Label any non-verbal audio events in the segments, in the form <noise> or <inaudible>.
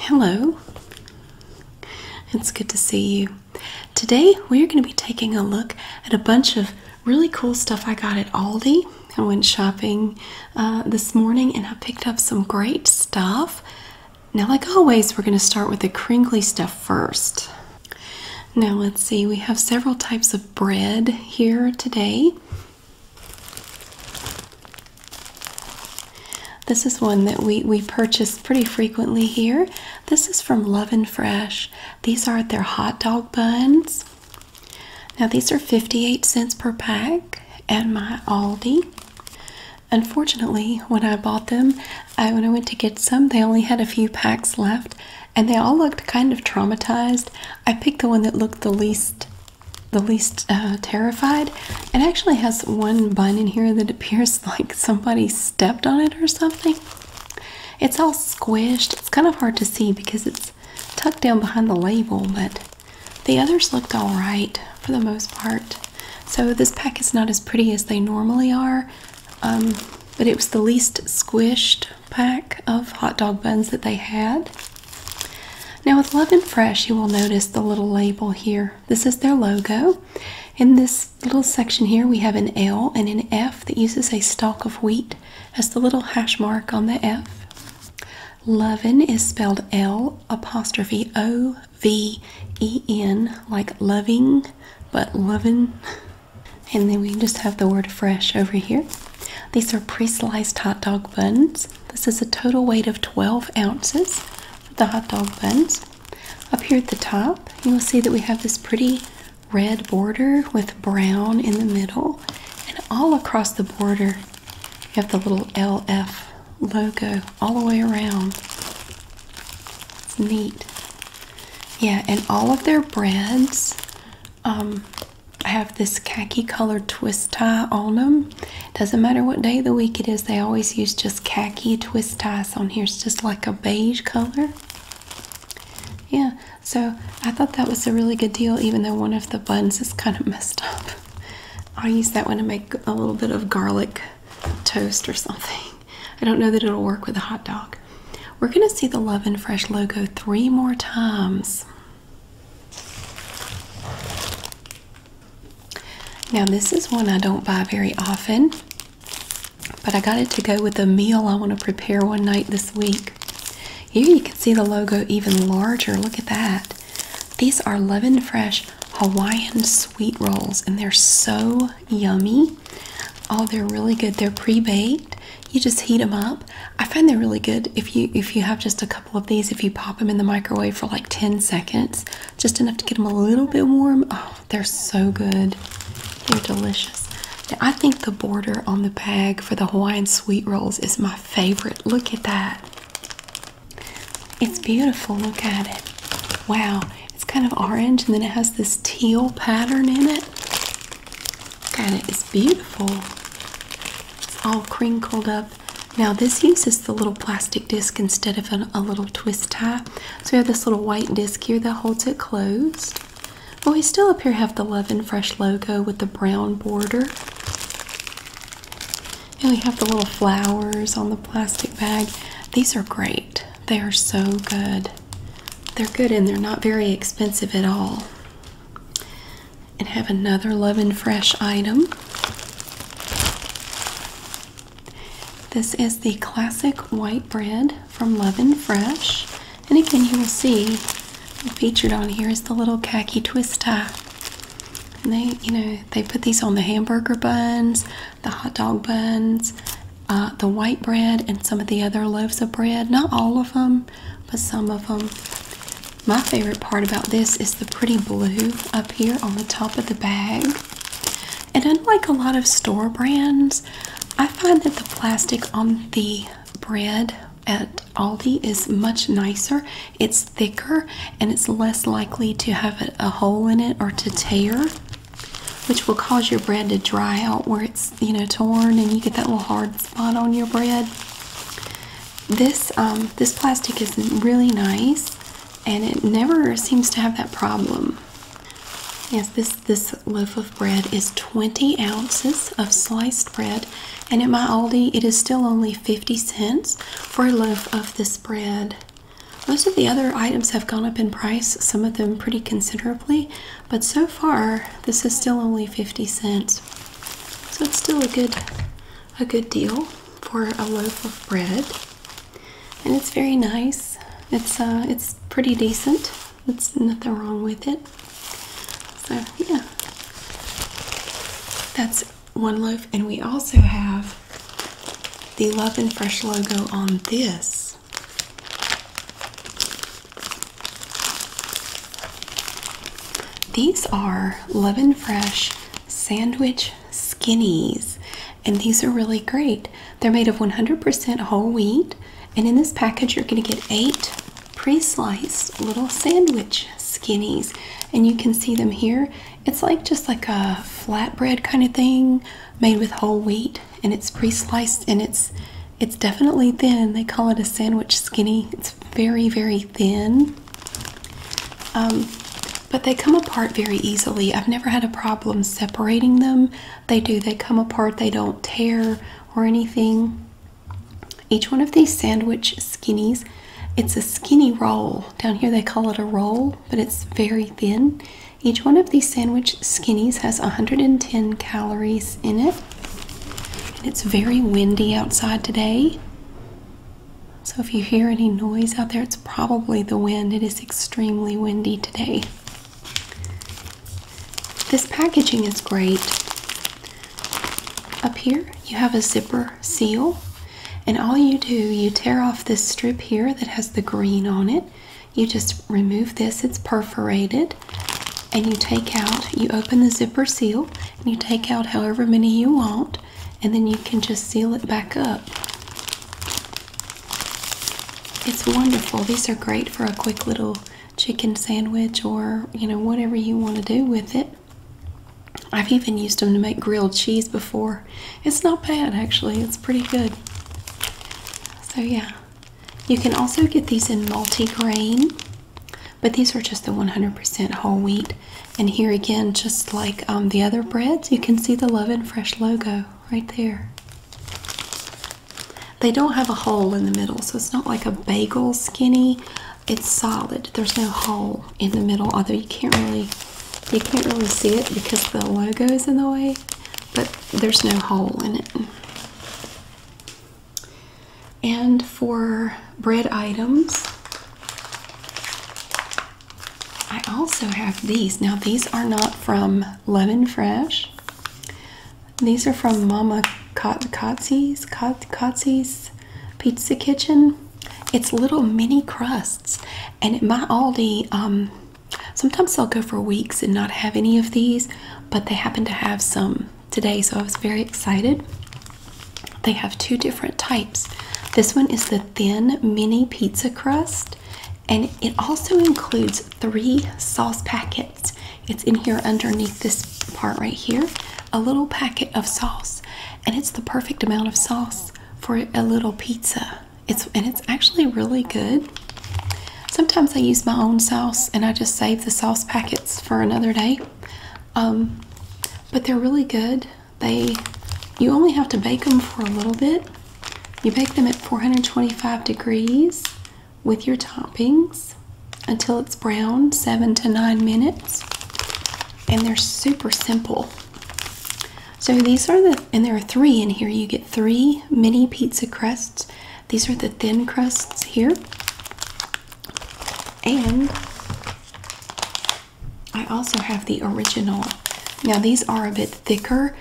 Hello, it's good to see you. Today we're going to be taking a look at a bunch of really cool stuff I got at Aldi. I went shopping uh, this morning and I picked up some great stuff. Now, like always, we're going to start with the crinkly stuff first. Now, let's see, we have several types of bread here today. This is one that we, we purchase pretty frequently here. This is from Love and Fresh. These are their hot dog buns. Now, these are 58 cents per pack at my Aldi. Unfortunately, when I bought them, when I went to get some, they only had a few packs left and they all looked kind of traumatized. I picked the one that looked the least the least uh, terrified. It actually has one bun in here that appears <laughs> like somebody stepped on it or something. It's all squished. It's kind of hard to see because it's tucked down behind the label, but the others looked all right for the most part. So this pack is not as pretty as they normally are, um, but it was the least squished pack of hot dog buns that they had. Now with Love and Fresh, you will notice the little label here this is their logo. In this little section here, we have an L and an F that uses a stalk of wheat as the little hash mark on the F. Lovin is spelled L apostrophe O V E N, like loving, but lovin. And then we just have the word fresh over here. These are pre sliced hot dog buns. This is a total weight of 12 ounces the hot dog buns. Up here at the top, you will see that we have this pretty red border with brown in the middle, and all across the border, you have the little LF logo all the way around. neat. Yeah, and all of their breads um, have this khaki colored twist tie on them doesn't matter what day of the week it is, they always use just khaki twist ties on here. It's just like a beige color. Yeah, so I thought that was a really good deal, even though one of the buns is kind of messed up. <laughs> I'll use that one to make a little bit of garlic toast or something. <laughs> I don't know that it'll work with a hot dog. We're going to see the Love and Fresh logo three more times. Now, this is one I don't buy very often, but I got it to go with a meal I want to prepare one night this week. Here you can see the logo even larger. Look at that. These are Love Fresh Hawaiian sweet rolls, and they're so yummy. Oh, they're really good. They're pre-baked. You just heat them up. I find they're really good if you if you have just a of these if you pop them in the microwave for like 10 seconds, just enough to get them a little bit warm. Oh, they're so good. They're delicious. I think the border on the bag for the Hawaiian sweet rolls is my favorite. Look at that. It's beautiful. Look at it. Wow. It's kind of orange and then it has this teal pattern in it. Look at it. It's beautiful. It's all crinkled up now, this uses the little plastic disc instead of a little twist tie. So we have this little white disc here that holds it closed. But we still up here have the Love and Fresh logo with the brown border. And we have the little flowers on the plastic bag. These are great. They are so good. They're good and they're not very expensive at all. And have another Love and Fresh item. This is the classic white bread from Love and Fresh. And again, you will see featured on here is the little khaki twist tie. And they, you know, they put these on the hamburger buns, the hot dog buns, uh, the white bread, and some of the other loaves of bread. Not all of them, but some of them. My favorite part about this is the pretty blue here on the top of the bag. And unlike a lot of store brands, I find that the plastic on the bread at Aldi is much nicer. It's thicker and it's less likely to have a, hole in it or to tear, which will cause your bread to dry out where it's, you know, torn and you get that little hard spot on your bread. This um, this plastic is really nice and it never seems to have that problem. Yes, this this loaf of bread is 20 ounces of sliced bread, and at my Aldi it is still only 50 cents for a loaf of this bread. Most of the other items have gone up in price, some of them pretty considerably, but so far this is still only 50 cents. So it's still a good a good deal for a loaf of bread and it's very nice. It's uh, it's pretty decent. It's nothing wrong with it. So yeah, that's one loaf, and we also have the Love and Fresh logo on this. These are Love and Fresh sandwich skinnies, and these are really great. They're made of 100% whole wheat, and in this package, you're going to get eight pre sliced little sandwich skinnies, and you can see them here. It's like just like a flatbread kind of thing made with whole wheat, and it's pre sliced and it's it's definitely thin. They call it a sandwich skinny. It's very, very thin. Um, but they come apart very easily. I've never had a problem separating them. They do, they come apart, they don't tear or anything. Each one of these sandwich skinnies, it's a skinny roll. Down here they call it a roll, but it's very thin. Each one of these sandwich skinnies has 110 calories in it. And it's very windy outside today. So if you hear any noise out there, it's probably the wind. It is extremely windy today. This packaging is great. Up here, you have a zipper seal, and all you do, you tear off this strip here that has the green on it. You just remove this, it's perforated, and you take out, you open the zipper seal, and you take out however many you want and then you can just seal it back up. It's wonderful. These are great for a quick little chicken sandwich or, you know, whatever you want to do with it. I've even used them to make grilled cheese before. It's not bad actually. It's pretty good. So yeah. You can also get these in multi-grain, but these are just the 100% whole wheat. And here again, just like um, the other breads, you can see the Love and Fresh logo right there. They don't have a hole in the middle, so it's not like a bagel skinny. It's solid. There's no hole in the middle, although you can't really you can't really see it because the logo is in the way, but there's no hole in it. And for bread items, I also have these. Now, these are not from Lemon Fresh. These are from Mama Kotzie's, Kotzie's Pizza Kitchen. It's little mini crusts. And at my Aldi, um, sometimes I'll go for weeks and not have any of these, but they happen to have some today, so I was very excited. They have two different types. This one is the thin mini pizza crust, and it also includes three sauce packets. It's in here underneath this part right here, a little packet of sauce, and it's the perfect amount of sauce for a little pizza. It's and it's actually really good. Sometimes I use my own sauce and I just save the sauce packets for another day. Um, but they're really good. They, you only have to bake them for a little bit. You bake them at 425 degrees with your toppings until it's brown, seven to nine minutes. And they're super simple. So these are the, and there are three in here. You get three mini pizza crusts. These are the thin crusts here. And I also have the original. Now, these are a bit thicker.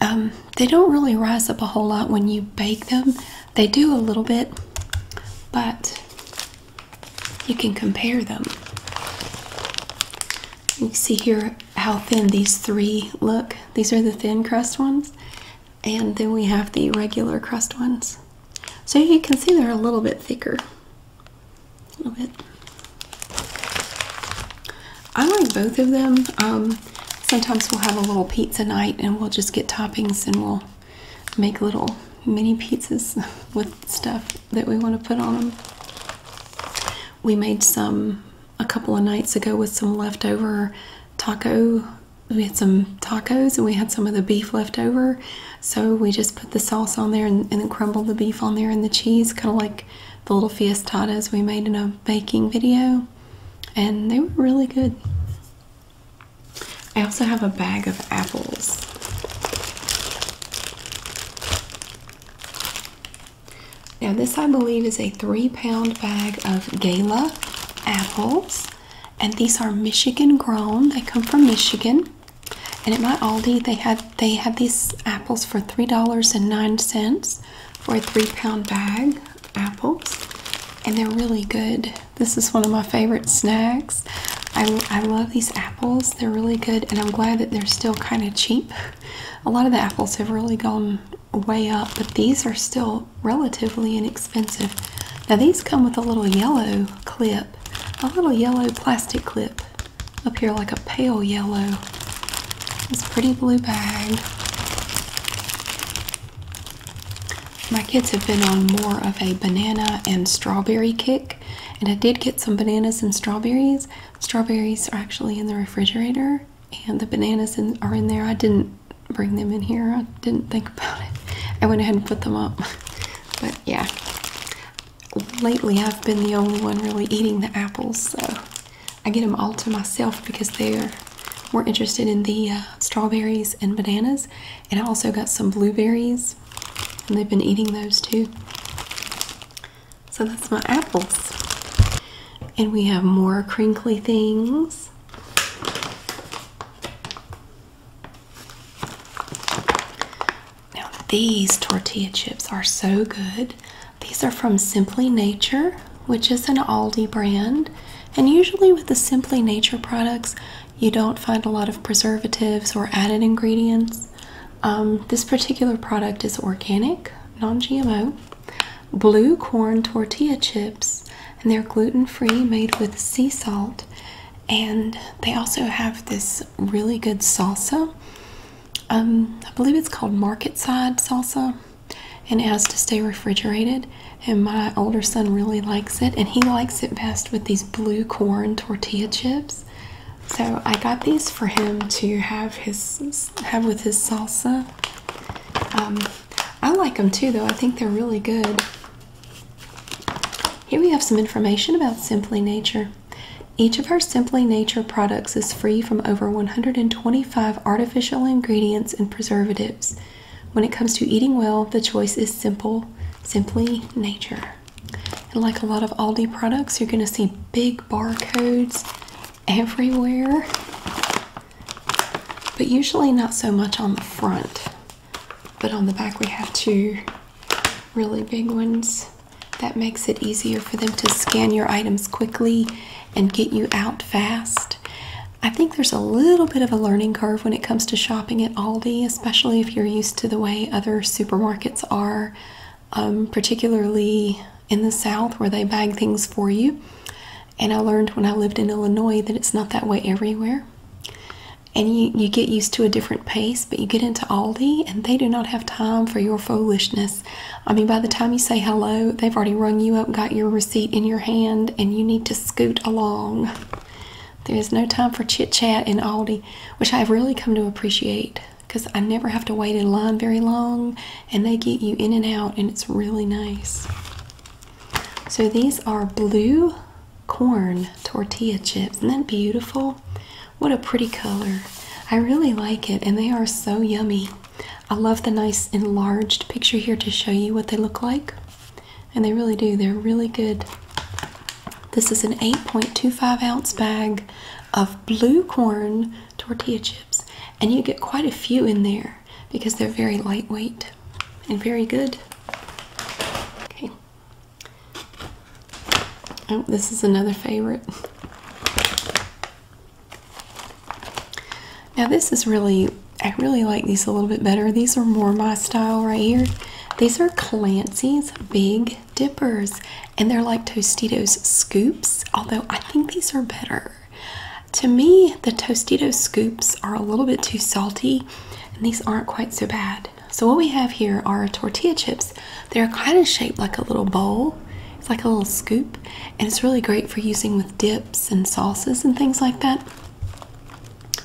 Um, they don't really rise up a whole lot when you bake them. They do a little bit, but you can compare them. You see here how thin these three look. These are the thin crust ones, and then we have the regular crust ones. So you can see they're a little bit thicker. A little bit. I like both of them. Um, sometimes we'll have a little pizza night and we'll just get toppings and we'll make little mini pizzas <laughs> with stuff that we want to put on them. We made some a couple of nights ago with some leftover taco. We had some tacos and we had some of the beef left over. So we just put the sauce on there and, and then crumbled the beef on there and the cheese, kind of like the little fiestadas we made in a baking video, and they were really good. I also have a bag of apples. Now, this I believe is a three pound bag of Gala apples, and these are Michigan grown, they come from Michigan. And at my Aldi, they had they had these apples for three dollars and nine cents for a three-pound bag of apples, and they're really good. This is one of my favorite snacks. I, I love these apples. They're really good, and I'm glad that they're still kind of cheap. A lot of the apples have really gone way up, but these are still relatively inexpensive. Now these come with a little yellow clip, a little yellow plastic clip up here like a pale yellow. This pretty blue bag. My kids have been on more of a banana and strawberry kick, and I did get some bananas and strawberries. Strawberries are actually in the refrigerator, and the bananas are in there. I didn't bring them in here, I didn't think about it. I went ahead and put them up. <laughs> But yeah, lately I've been the only one really eating the apples, so I get them all to myself because they're more interested in the uh, strawberries and bananas. And I also got some blueberries, and they've been eating those too. So that's my apples. And we have more crinkly things. Now, these tortilla chips are so good. These are from Simply Nature, which is an Aldi brand. And usually, with the Simply Nature products, you don't find a lot of preservatives or added ingredients. Um, this particular product is organic, non GMO, blue corn tortilla chips, and they're gluten free, made with sea salt. And they also have this really good salsa. Um, I believe it's called Market Side Salsa, and it has to stay refrigerated. And my older son really likes it, and he likes it best with these blue corn tortilla chips. So I got these for him to have his have with his salsa. Um, I like them too, though. I think they're really good. Here we have some information about Simply Nature. Each of our Simply Nature products is free from over 125 artificial ingredients and preservatives. When it comes to eating well, the choice is simple Simply Nature. And like a lot of Aldi products, you're going to see big barcodes everywhere, but usually not so much on the front. But on the back, we have two really big ones that makes it easier for them to scan your items quickly and get you out fast. I think there's a little bit of a learning curve when it comes to shopping at Aldi, especially if you're used to the way other supermarkets are, um, particularly in the South where they bag things for you. And I learned when I lived in Illinois that it's not that way everywhere. And you, you get used to a different pace, but you get into Aldi and they do not have time for your foolishness. I mean, by the time you say hello, they've already rung you up, got your receipt in your hand, and you need to scoot along. There is no time for chit chat in Aldi, which I've really come to appreciate because I never have to wait in line very long, and they get you in and out, and it's really nice. So these are blue corn tortilla chips. Isn't that beautiful? What a pretty color. I really like it, and they are so yummy. I love the nice enlarged picture here to show you what they look like. And they really do, they're really good. This is an 8.25 ounce bag of blue corn tortilla chips, and you get quite a few in there because they're very lightweight and very good. Okay, Oh, this is another favorite. Now this is really, I really like these a little bit better. These are more my style right here. These are Clancy's Big Dippers, and they're like Tostitos scoops, although I think these are better. To me, the Tostitos scoops are a little bit too salty, and these aren't quite so bad. So what we have here are tortilla chips they're kind of shaped like a little bowl. It's like a little scoop, and it's really great for using with dips and sauces and things like that.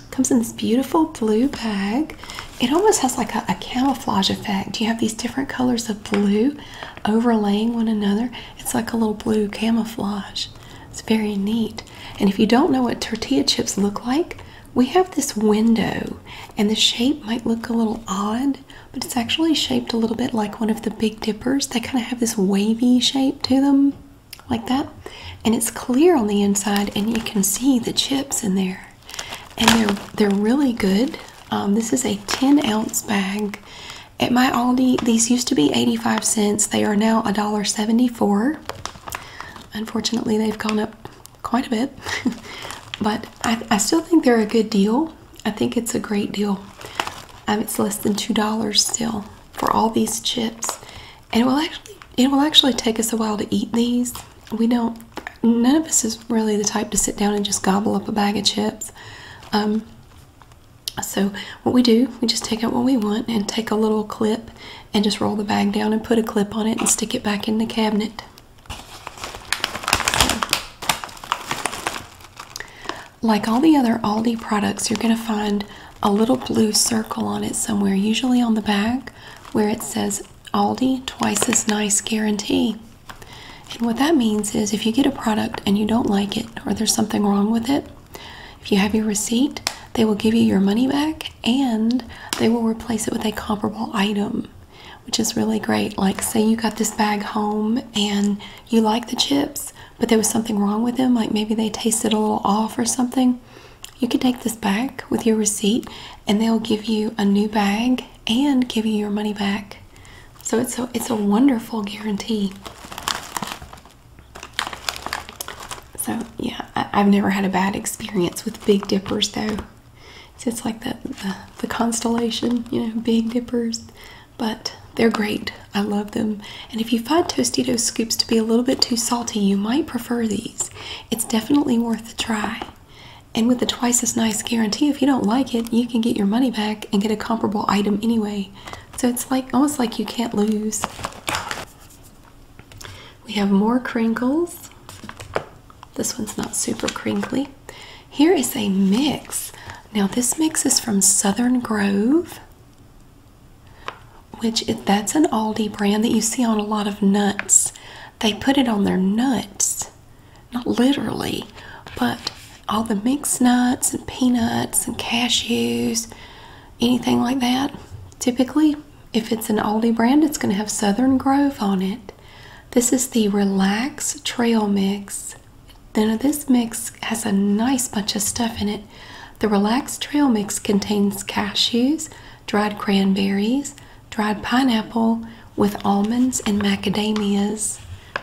Comes in this beautiful blue bag. It almost has like a camouflage effect. You have these different colors of blue overlaying one another. It's like a little blue camouflage. It's very neat. And if you don't know what tortilla chips look like, we have this window, and the shape might look a little odd but it's actually shaped a little bit like one of the Big Dippers. They kind of have this wavy shape to them, like that. And it's clear on the inside, and you can see the chips in there. And they're they're really good. Um, this is a 10 ounce bag. At my Aldi, these used to be 85 cents. They are now a dollar 74. Unfortunately, they've gone up quite a bit, <laughs> but I still think they're a good deal. I think it's a great deal. Um, it's less than two dollars still for all these chips, and it will actually it will actually take us a while to eat these. We don't. None of us is really the type to sit down and just gobble up a bag of chips. Um, so what we do, we just take out what we want and take a little clip and just roll the bag down and put a clip on it and stick it back in the cabinet. Like all the other Aldi products, you're going to find a little blue circle on it somewhere, usually on the back where it says Aldi twice as nice guarantee. And what that means is if you get a product and you don't like it or there's something wrong with it, if you have your receipt, they will give you your money back and they will replace it with a comparable item, which is really great. Like, say you got this bag home and you like the chips, but there was something wrong with them, like maybe they tasted a little off or something. You could take this back with your receipt and they'll give you a new bag and give you your money back. So it's a, it's a wonderful guarantee. So, yeah, I've never had a bad experience with Big Dippers though it's like that the, the constellation, you know, Big Dippers, but they're great. I love them. And if you find Tostitos scoops to be a little bit too salty, you might prefer these. It's definitely worth a try. And with the twice as nice guarantee, if you don't like it, you can get your money back and get a comparable item anyway. So it's like almost like you can't lose. We have more crinkles. This one's not super crinkly. Here is a mix. Now this mix is from Southern Grove, which that's an Aldi brand that you see on a lot of nuts. They put it on their nuts, not literally, but all the mixed nuts and peanuts and cashews, anything like that. Typically, if it's an Aldi brand, it's going to have Southern Grove on it. This is the Relax Trail Mix. Then this mix has a nice bunch of stuff in it. The Relaxed Trail Mix contains cashews, dried cranberries, dried pineapple with almonds and macadamias.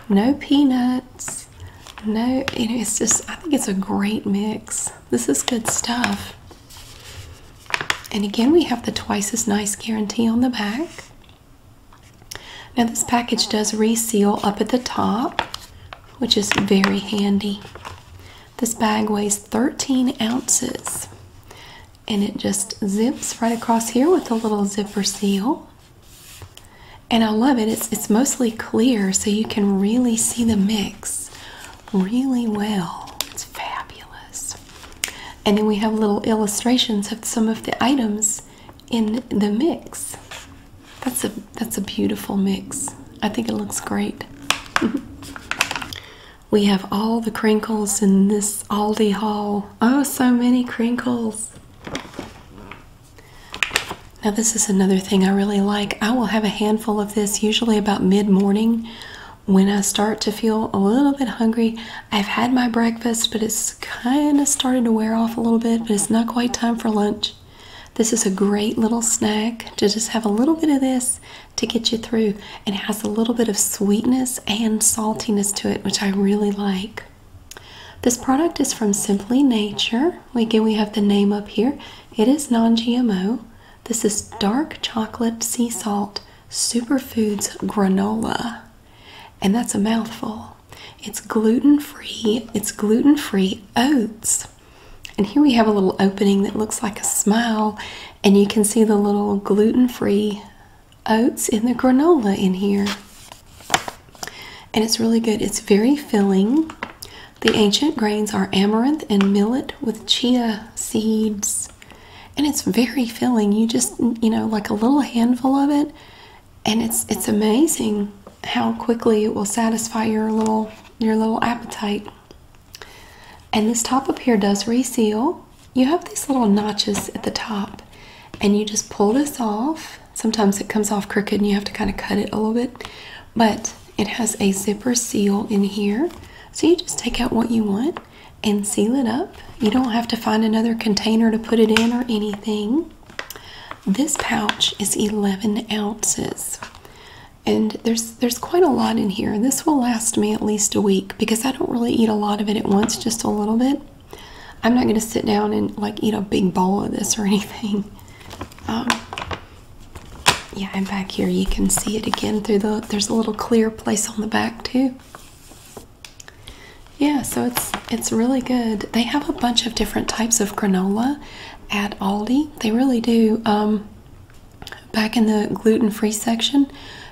No peanuts. No, it's just, I think it's a great mix. This is good stuff. And again, we have the twice as nice guarantee on the back. Now, this package does reseal up at the top, which is very handy. This bag weighs 13 ounces and it just zips right across here with a little zipper seal. And I love it. It's, mostly clear, so you can really see the mix really well. It's fabulous. And then we have little illustrations of some of the items in the mix. That's a that's a beautiful mix. I think it looks great. <laughs> we have all the crinkles in this Aldi haul. Oh, so many crinkles. Now this is another thing I really like. I will have a handful of this usually about mid-morning when I start to feel a little bit hungry. I've had my breakfast, but it's kind of started to wear off a little bit, but it's not quite time for lunch. This is a great little snack to just have a little bit of this to get you through. It has a little bit of sweetness and saltiness to it, which I really like. This product is from Simply Nature. Again, we have the name up here. It is non-GMO. This is dark chocolate sea salt superfoods granola. And that's a mouthful. It's gluten free. It's gluten free oats. And here we have a little opening that looks like a smile, and you can see the little gluten free oats in the granola in here. And it's really good. It's very filling. The ancient grains are amaranth and millet with chia seeds. And it's very filling. You just, you know, like a little handful of it, and it's it's amazing how quickly it will satisfy your little your little appetite. And this top up here does reseal. You have these little notches at the top, and you just pull this off. Sometimes it comes off crooked and you have to kind of cut it a little bit, but it has a zipper seal in here. So you just take out what you want and seal it up you don't have to find another container to put it in or anything. This pouch is 11 ounces. And there's there's quite a lot in here. This will last me at least a week because I don't really eat a lot of it at once, just a little bit. I'm not going to sit down and like eat a big bowl of this or <laughs> anything. Um, yeah, and back here you can see it again through the there's a little clear place on the back too. Yeah, so it's it's really good. They have a bunch of different types of granola at Aldi. They really do. Um, back in the gluten-free section,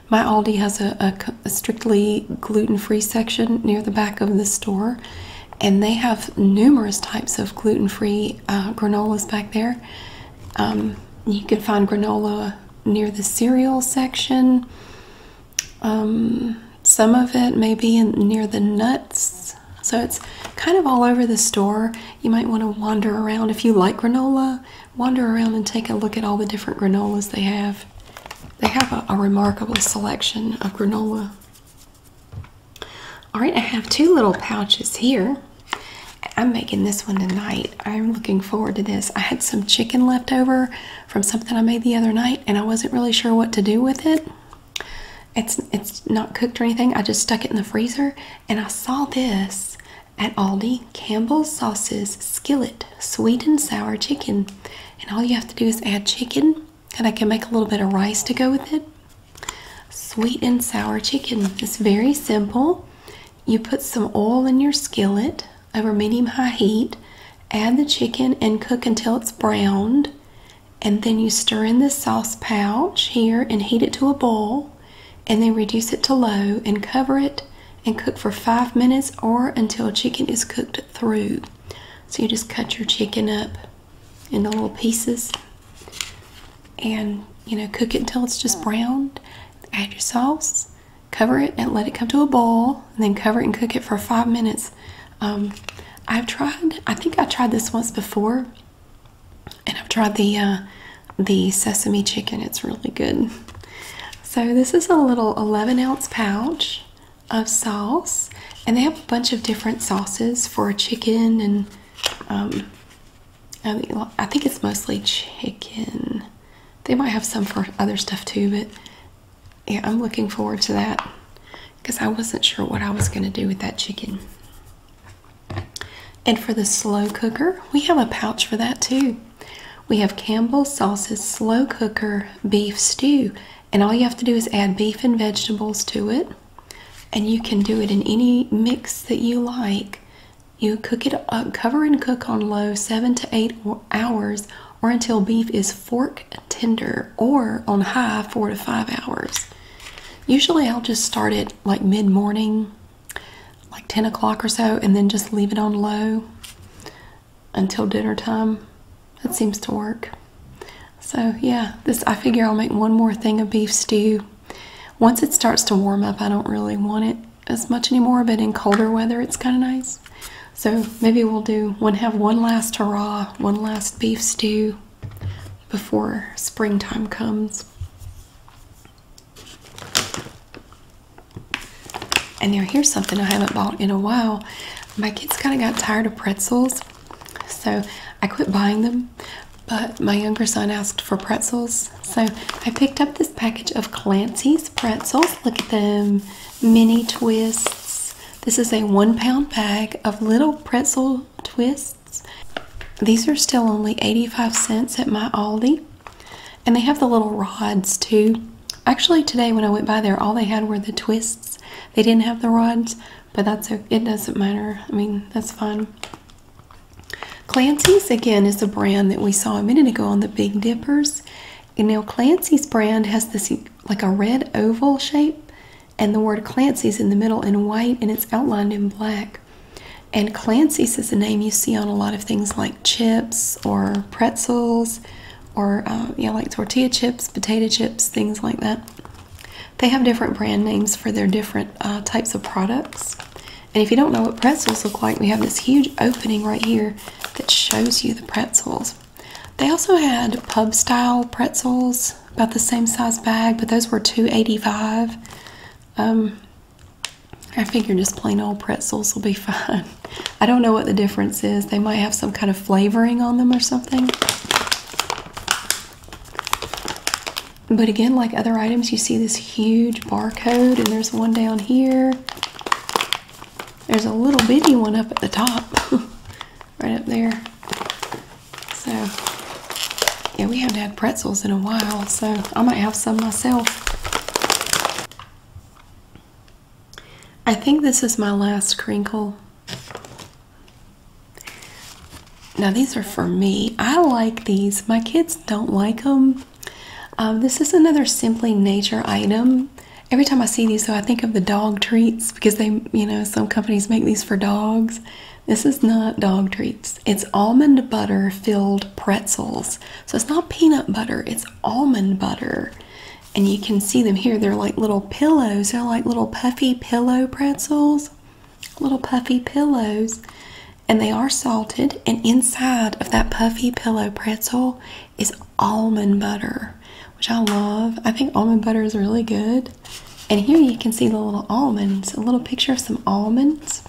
my Aldi has a, strictly gluten-free section near the back of the store, and they have numerous types of gluten-free uh, granolas back there. Um, you can find granola near the cereal section. Um, some of it may be near the nuts. So it's kind of all over the store. You might want to wander around. If you like granola, wander around and take a look at all the different granolas they have. They have a, a remarkable selection of granola. All right, I have two little pouches here. I'm making this one tonight. I'm looking forward to this. I had some chicken left over from something I made the other night and I wasn't really sure what to do with it. It's it's not cooked or anything. I just stuck it in the freezer and I saw this at Aldi Campbell's Sauces Skillet Sweet and Sour Chicken. And all you have to do is add chicken and I can make a little bit of rice to go with it. Sweet and sour chicken. It's very simple. You put some oil in your skillet over medium high heat. Add the chicken and cook until it's browned. And then you stir in the sauce pouch here and heat it to a boil. And then reduce it to low and cover it and cook for five minutes or until chicken is cooked through. So you just cut your chicken up into little pieces and you know cook it until it's just mm. browned. Add your sauce cover it and let it come to a boil, and then cover it and cook it for five minutes. Um, I've tried, I think I tried this once before, and I've tried the uh, the sesame chicken. It's really good. So this is a little 11 ounce pouch of sauce, and they have a bunch of different sauces for chicken and um, I think, I think it's mostly chicken. They might have some for other stuff too, but yeah, I'm looking forward to that because I wasn't sure what I was going to do with that chicken. And for the slow cooker, we have a pouch for that too. We have Campbell's Sauces Slow Cooker Beef Stew, and all you have to do is add beef and vegetables to it. And you can do it in any mix that you like. You cook it, uh, cover and cook on low seven to eight hours or until beef is fork tender or on high four to five hours. Usually I'll just start it like mid morning, like 10 o'clock or so, and then just leave it on low until dinner time. That seems to work. So yeah, this I figure I'll make one more thing of beef stew. Once it starts to warm up, I don't really want it as much anymore, but in colder weather, it's kind of nice. So maybe we'll do one, have one last hurrah, one last beef stew before springtime comes. And now here's something I haven't bought in a while. My kids kind of got tired of pretzels, so I quit buying them. But my younger son asked for pretzels, so I picked up this package of Clancy's pretzels. Look at them, mini twists. This is a one pound bag of little pretzel twists. These are still only 85 cents at my Aldi. And they have the little rods too. Actually, today when I went by there, all they had were the twists. They didn't have the rods, but that's a, it doesn't matter. I mean, that's fine. Clancy's, again, is a brand that we saw a minute ago on the Big Dippers. And now Clancy's brand has this like a red oval shape, and the word Clancy's in the middle in white, and it's outlined in black. And Clancy's is a name you see on a lot of things like chips or pretzels, or uh, yeah, like tortilla chips, potato chips, things like that. They have different brand names for their different uh, types of products. And if you don't know what pretzels look like, we have this huge opening right here that shows you the pretzels. They also had pub style pretzels, about the same size bag, but those were 2.85. Um, I figure just plain old pretzels will be <laughs> fine. I don't know what the difference is. They might have some kind of flavoring on them or something. But again, like other items, you see this huge barcode, and there's one down here. There's a little bitty one up at the top, <laughs> right up there. So, yeah, we haven't had pretzels in a while, so I might have some myself. I think this is my last crinkle. Now, these are for me. I like these. My kids don't like them. Um, this is another Simply Nature item. Every time I see these, though, I think of the dog treats because they, you know, some companies make these for dogs. This is not dog treats. It's almond butter filled pretzels. So it's not peanut butter, it's almond butter. And you can see them here. They're like little pillows. They're like little puffy pillow pretzels, little puffy pillows. And they are salted. And inside of that puffy pillow pretzel is almond butter, which I love. I think almond butter is really good. And here you can see the little almonds, a little picture of some almonds.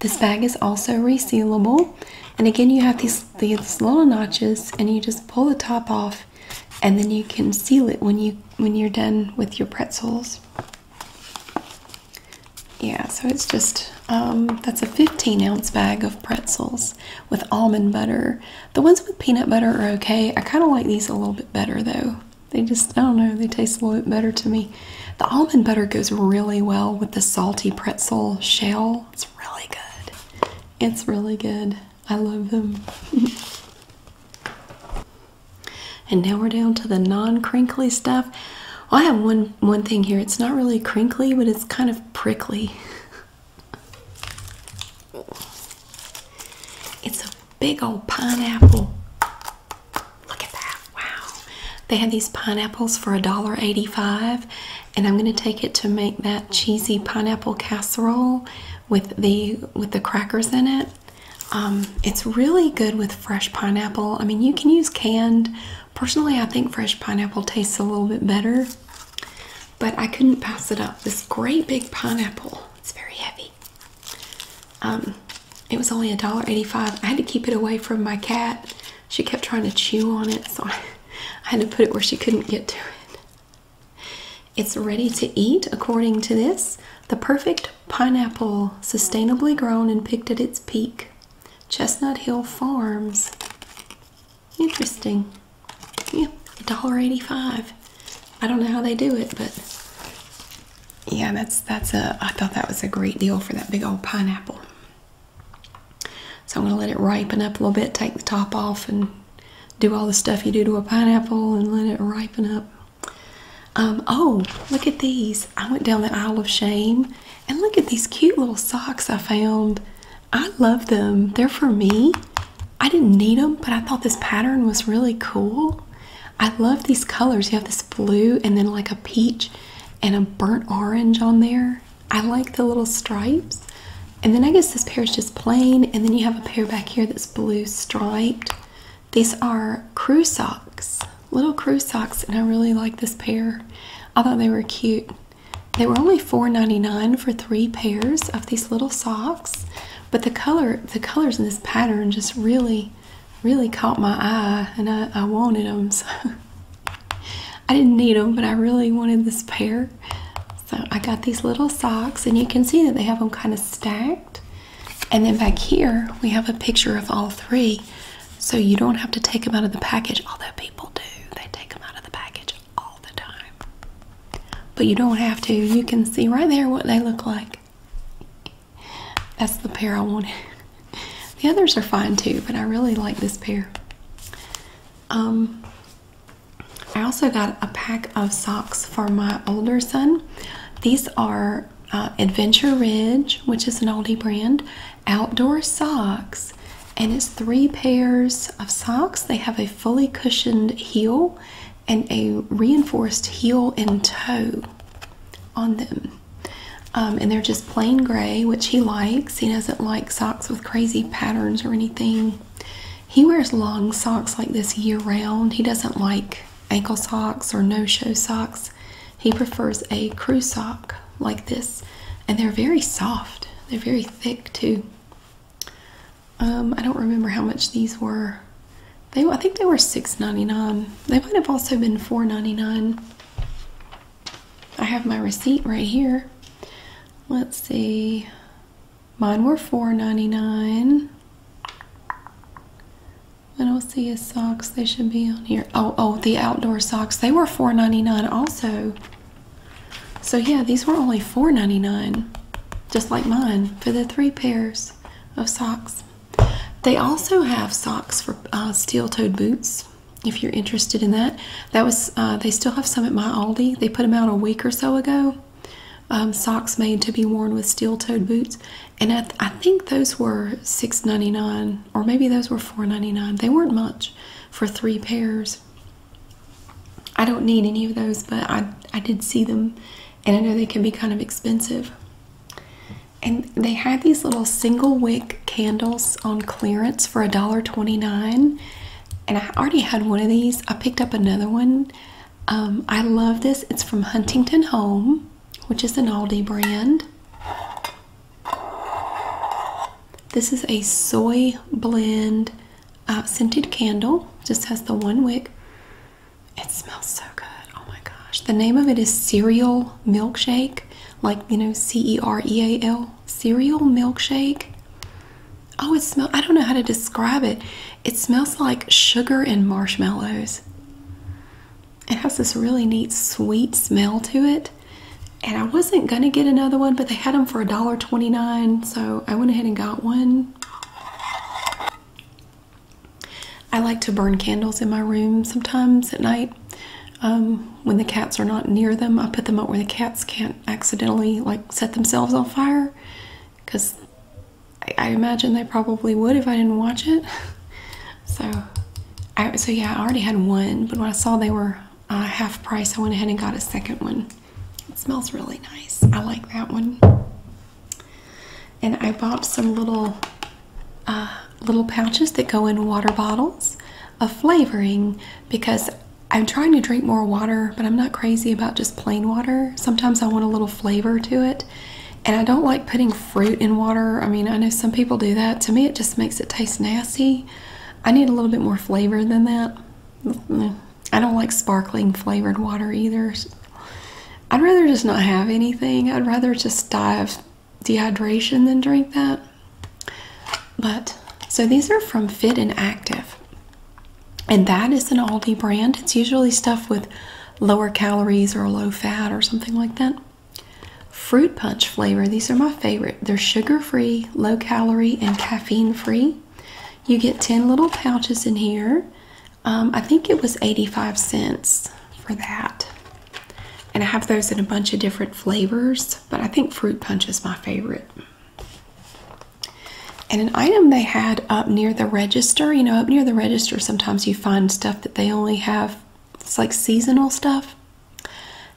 This bag is also resealable. And again, you have these, these little notches and you just pull the top off and then you can seal it when you when you're done with your pretzels. Yeah, so it's just um, that's a 15 ounce bag of pretzels with almond butter. The ones with peanut butter are okay. I kind of like these a little bit better though. They just, I don't know, they taste a little bit better to me. The almond butter goes really well with the salty pretzel shell. It's really good. It's really good. I love them. <laughs> and now we're down to the non-crinkly stuff. I have one one thing here. It's not really crinkly, but it's kind of prickly. <laughs> It's a big old pineapple. Look at that. Wow. They had these pineapples for $1.85, and I'm going to take it to make that cheesy pineapple casserole with the with the crackers in it. Um, it's really good with fresh pineapple. I mean, you can use canned. Personally, I think fresh pineapple tastes a little bit better but I couldn't pass it up. This great big pineapple. It's very heavy. Um, it was only a dollar eighty-five. I had to keep it away from my cat. She kept trying to chew on it, so I had to put it where she couldn't get to it. It's ready to eat, according to this. The perfect pineapple, sustainably grown and picked at its peak. Chestnut Hill Farms. Interesting. Yeah, $1.85. I don't know how they do it, but yeah, that's that's a I thought that was a great deal for that big old pineapple. So I'm gonna let it ripen up a little bit, take the top off and do all the stuff you do to a pineapple and let it ripen up. Um, oh, look at these. I went down the aisle of shame and look at these cute little socks I found. I love them. They're for me. I didn't need them, but I thought this pattern was really cool. I love these colors. You have this blue and then like a peach and a burnt orange on there. I like the little stripes. And then I guess this pair is just plain. And then you have a pair back here that's blue striped. These are crew socks, little crew socks. And I really like this pair. I thought they were cute. They were only $4.99 for three pairs of these little socks, but the color, the colors in this pattern just really, really caught my eye, and I, I wanted them. <laughs> So I didn't need them, but I really wanted this pair. So I got these little socks, and you can see that they have them kind of stacked. And then back here, we have a picture of all three, so you don't have to take them out of the package, although people do. They take them out of the package all the time. But you don't have to. You can see right there what they look like. That's the pair I wanted. <laughs> The others are fine too, but I really like this pair. Um, I also got a pack of socks for my older son. These are uh, Adventure Ridge, which is an oldie brand, outdoor socks, and it's three pairs of socks. They have a fully cushioned heel and a reinforced heel and toe on them. Um, and they're just plain gray, which he likes. He doesn't like socks with crazy patterns or anything. He wears long socks like this year round. He doesn't like ankle socks or no show socks. He prefers a crew sock like this. And they're very soft, they're very thick too. Um, I don't remember how much these were. They I think they were $6.99. They might have also been $4.99. I have my receipt right here. Let's see. Mine were $4.99. I don't see his socks. They should be on here. Oh, oh, the outdoor socks. They were $4.99 also. So yeah, these were only $4.99, just like mine, for the three pairs of socks. They also have socks for uh, steel-toed boots, if you're interested in that. That was uh, they still have some at my Aldi. They put them out a week or so ago. Um, socks made to be worn with steel-toed boots, and I think those were $6.99 or maybe those were $4.99. They weren't much for three pairs. I don't need any of those, but I, I did see them and I know they can be kind of expensive. And they had these little single wick candles on clearance for a dollar twenty nine, And I already had one of these. I picked up another one. Um, I love this. It's from Huntington Home, which is an Aldi brand. This is a soy blend uh, scented candle. Just has the one wick. It smells so good. Oh my gosh. The name of it is Cereal Milkshake. Like, you know, C E R E A L. Cereal Milkshake. Oh, it smells, I don't know how to describe it. It smells like sugar and marshmallows. It has this really neat sweet smell to it. And I wasn't going to get another one, but they had them for a dollar twenty-nine so I went ahead and got one. I like to burn candles in my room sometimes at night. Um, when the cats are not near them, I put them out where the cats can't accidentally like set themselves on fire because I, imagine they probably would if I didn't watch it. <laughs> so, so yeah, I already had one, but when I saw they were uh, half price, I went ahead and got a second one. It smells really nice. I like that one. And I bought some little uh, little pouches that go in water bottles of flavoring because I'm trying to drink more water, but I'm not crazy about just plain water. Sometimes I want a little flavor to it. And I don't like putting fruit in water. I mean, I know some people do that. To me, it just makes it taste nasty. I need a little bit more flavor than that. I don't like sparkling flavored water either. I'd rather just not have anything. I'd rather just die of dehydration than drink that. But so these are from Fit and Active. And that is an Aldi brand. It's usually stuff with lower calories or low fat or something like that. Fruit punch flavor. These are my favorite. They're sugar free, low calorie, and caffeine free. You get 10 little pouches in here. Um, I think it was 85 cents for that. And I have those in a bunch of different flavors, but I think fruit punch is my favorite. And an item they had up near the register, you know, up near the register, sometimes you find stuff that they only have, it's like seasonal stuff.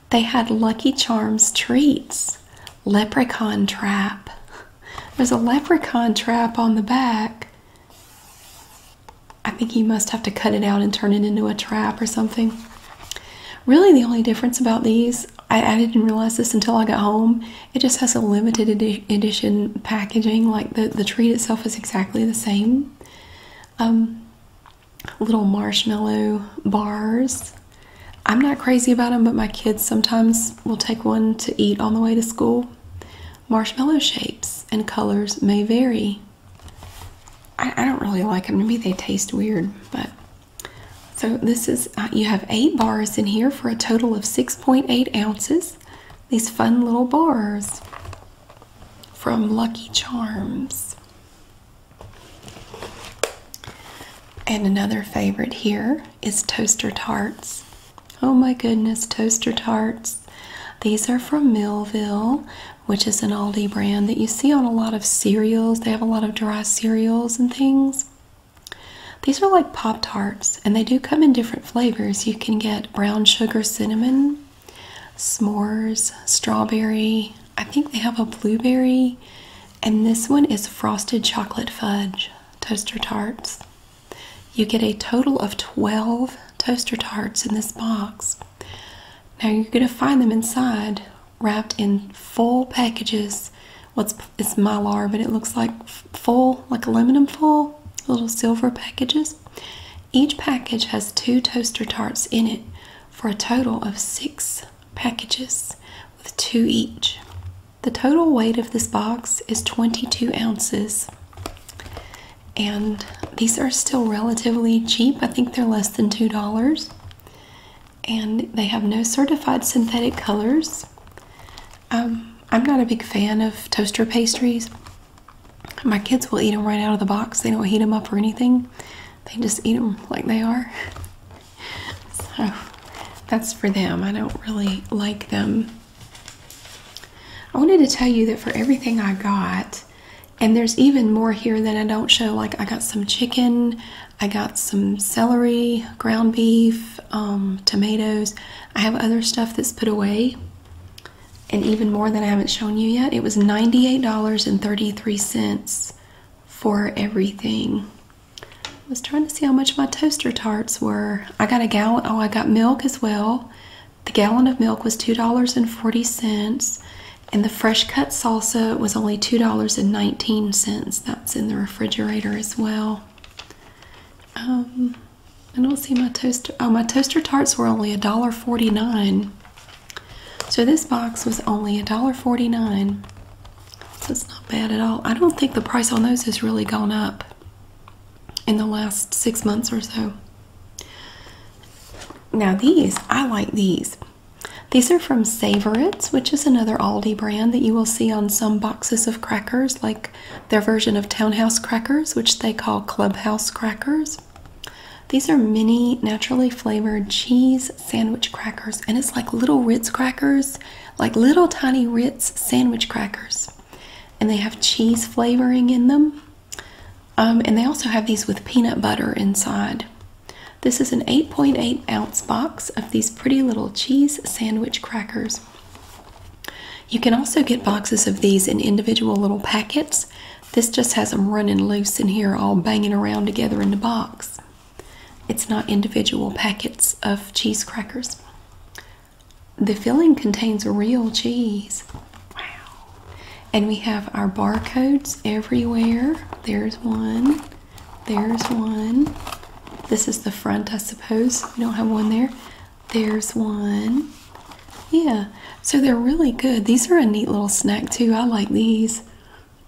They had Lucky Charms treats leprechaun trap. There's a leprechaun trap on the back. I think you must have to cut it out and turn it into a trap or something. Really, the only difference about these, I, didn't realize this until I got home, it just has a limited edition packaging. Like the, the treat itself is exactly the same. Um, little marshmallow bars I'm not crazy about them, but my kids sometimes will take one to eat on the way to school. Marshmallow shapes and colors may vary. I, don't really like them. Maybe they taste weird, but so this is uh, you have eight bars in here for a total of 6.8 ounces. These fun little bars from Lucky Charms. And another favorite here is toaster tarts. Oh my goodness, toaster tarts. These are from Millville, which is an Aldi brand that you see on a lot of cereals. They have a lot of dry cereals and things. These are like Pop Tarts, and they do come in different flavors. You can get brown sugar cinnamon, s'mores, strawberry. I think they have a blueberry and this one is frosted chocolate fudge toaster tarts. You get a total of 12 toaster tarts in this box. Now you're going to find them inside wrapped in full packages. What's it's mylar, but it looks like full, like aluminum full, little silver packages. Each package has two toaster tarts in it for a total of six packages with two each. The total weight of this box is 22 ounces. And these are still relatively cheap. I think they're less than $2. And they have no certified synthetic colors. Um, I'm not a big fan of toaster pastries. My kids will eat them right out of the box. They don't heat them up or anything. They just eat them like they are. <laughs> So that's for them. I don't really like them. I wanted to tell you that for everything I got, and there's even more here that I don't show. Like I got some chicken, I got some celery, ground beef, um, tomatoes. I have other stuff that's put away, and even more that I haven't shown you yet. It was $98.33 for everything. I was trying to see how much my toaster tarts were. I got a gallon. Oh, I got milk as well. The gallon of milk was $2.40, and the fresh cut salsa was only $2.19. That's in the refrigerator as well. Um, I don't see my toaster. Oh, my toaster tarts were only $1.49. So this box was only $1.49. That's not bad at all. I don't think the price on those has really gone up in the last six months or so. Now, these, I like these. These are from Savorites, which is another Aldi brand that you will see on some boxes of crackers, like their version of Townhouse crackers, which they call Clubhouse crackers. These are mini naturally flavored cheese sandwich crackers, and it's like little Ritz crackers like little tiny Ritz sandwich crackers, and they have cheese flavoring in them. Um, and they also have these with peanut butter inside. This is an 8.8 ounce box of these pretty little cheese sandwich crackers. You can also get boxes of these in individual little packets. This just has them running loose in here, all banging around together in the box. It's not individual packets of cheese crackers. The filling contains real cheese. Wow. And we have our barcodes everywhere. There's one. There's one. This is the front, I suppose. We don't have one there. There's one. Yeah. So they're really good. These are a neat little snack too. I like these.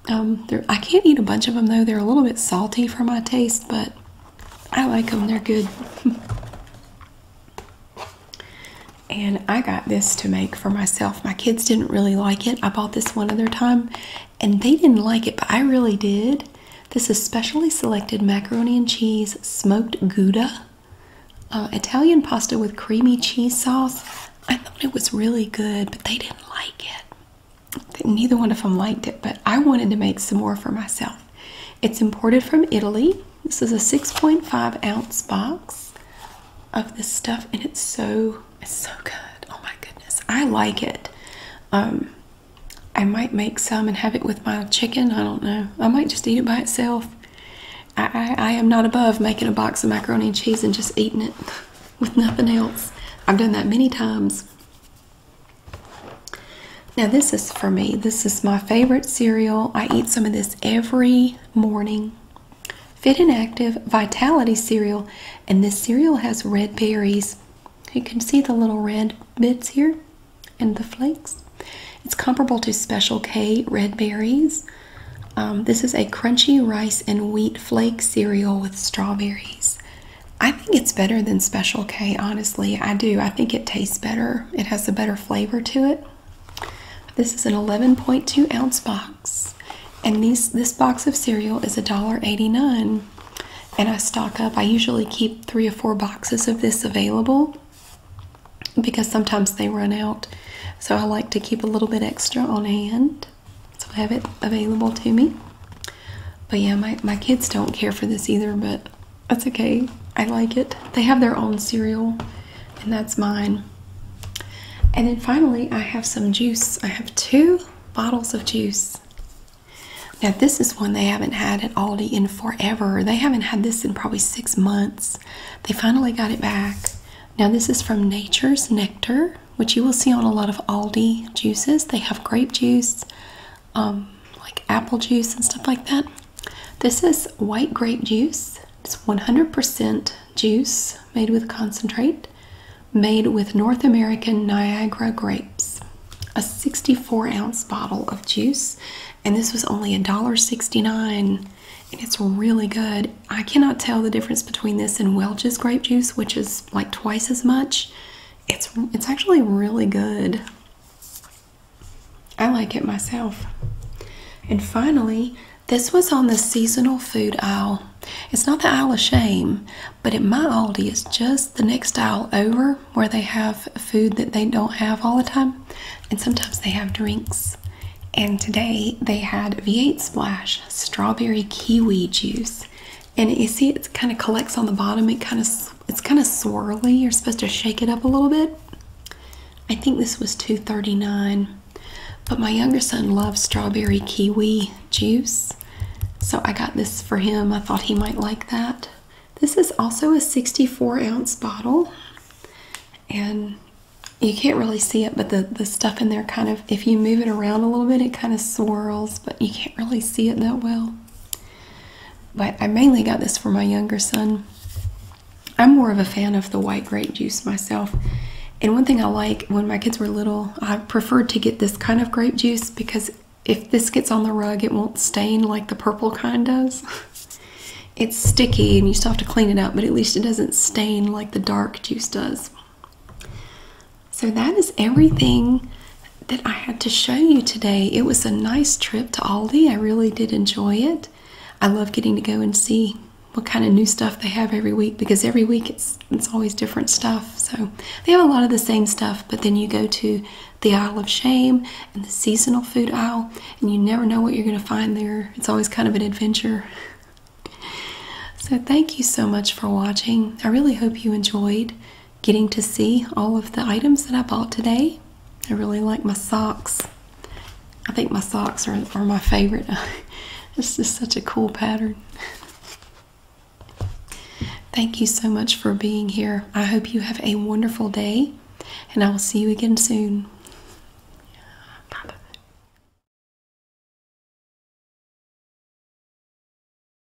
Um, I can't eat a bunch of them though. They're a little bit salty for my taste, but I like them, they're good. <laughs> and I got this to make for myself. My kids didn't really like it. I bought this one other time and they didn't like it, but I really did. This is specially selected macaroni and cheese smoked Gouda, uh, Italian pasta with creamy cheese sauce. I thought it was really good, but they didn't like it neither one of them liked it, but I wanted to make some more for myself. It's imported from Italy. This is a 6.5 ounce box of this stuff, and it's so it's so good. Oh my goodness, I like it. Um, I might make some and have it with my chicken. I don't know. I might just eat it by itself. I am not above making a box of macaroni and cheese and just eating it <laughs> with nothing else. I've done that many times. Now, this is for me. This is my favorite cereal. I eat some of this every morning. Fit and Active Vitality Cereal. And this cereal has red berries. You can see the little red bits here and the flakes. It's comparable to Special K red berries. Um, this is a crunchy rice and wheat flake cereal with strawberries. I think it's better than Special K, honestly. I do. I think it tastes better. It has a better flavor to it. This is an 11.2 ounce box. And these this box of cereal is a dollar 89. And I stock up. I usually keep three or four boxes of this available because sometimes they run out. So I like to keep a little bit extra on hand. So I have it available to me. But yeah, my, my kids don't care for this either, but that's okay. I like it. They have their own cereal, and that's mine. And then finally, I have some juice. I have two bottles of juice. Now, this is one they haven't had at Aldi in forever. They haven't had this in probably six months. They finally got it back. Now, this is from Nature's Nectar, which you will see on a lot of Aldi juices. They have grape juice, um, like apple juice and stuff like that. This is white grape juice. It's 100% juice made with concentrate, made with North American Niagara grapes. A 64 ounce bottle of juice, and this was only $1.69, and it's really good. I cannot tell the difference between this and Welch's grape juice, which is like twice as much. It's it's actually really good. I like it myself. And finally, this was on the seasonal food aisle. It's not the aisle of shame, but at my Aldi, it's just the next aisle over where they have food that they don't have all the time. And sometimes they have drinks. And today they had V8 Splash strawberry kiwi juice and you see it kind of collects on the bottom. It kind of it's kind of swirly. You're supposed to shake it up a little bit. I think this was two thirty nine. But my younger son loves strawberry kiwi juice. So I got this for him. I thought he might like that. This is also a 64 ounce bottle. And you can't really see it, but the, the stuff in there kind of, if you move it around a little bit, it kind of swirls, but you can't really see it that well but I mainly got this for my younger son. I'm more of a fan of the white grape juice myself. And one thing I like when my kids were little, I preferred to get this kind of grape juice because if this gets on the rug, it won't stain like the purple kind does. <laughs> it's sticky and you still have to clean it up, but at least it doesn't stain like the dark juice does. So that is everything that I had to show you today. It was a nice trip to Aldi. I really did enjoy it. I love getting to go and see what kind of new stuff they have every week because every week it's it's always different stuff. So they have a lot of the same stuff, but then you go to the aisle of shame and the seasonal food aisle and you never know what you're going to find there. It's always kind of an adventure. So thank you so much for watching. I really hope you enjoyed getting to see all of the items that I bought today. I really like my socks. I think my socks are, are my favorite. this <laughs> is such a cool pattern. Thank you so much for being here. I hope you have a wonderful day, and I will see you again soon.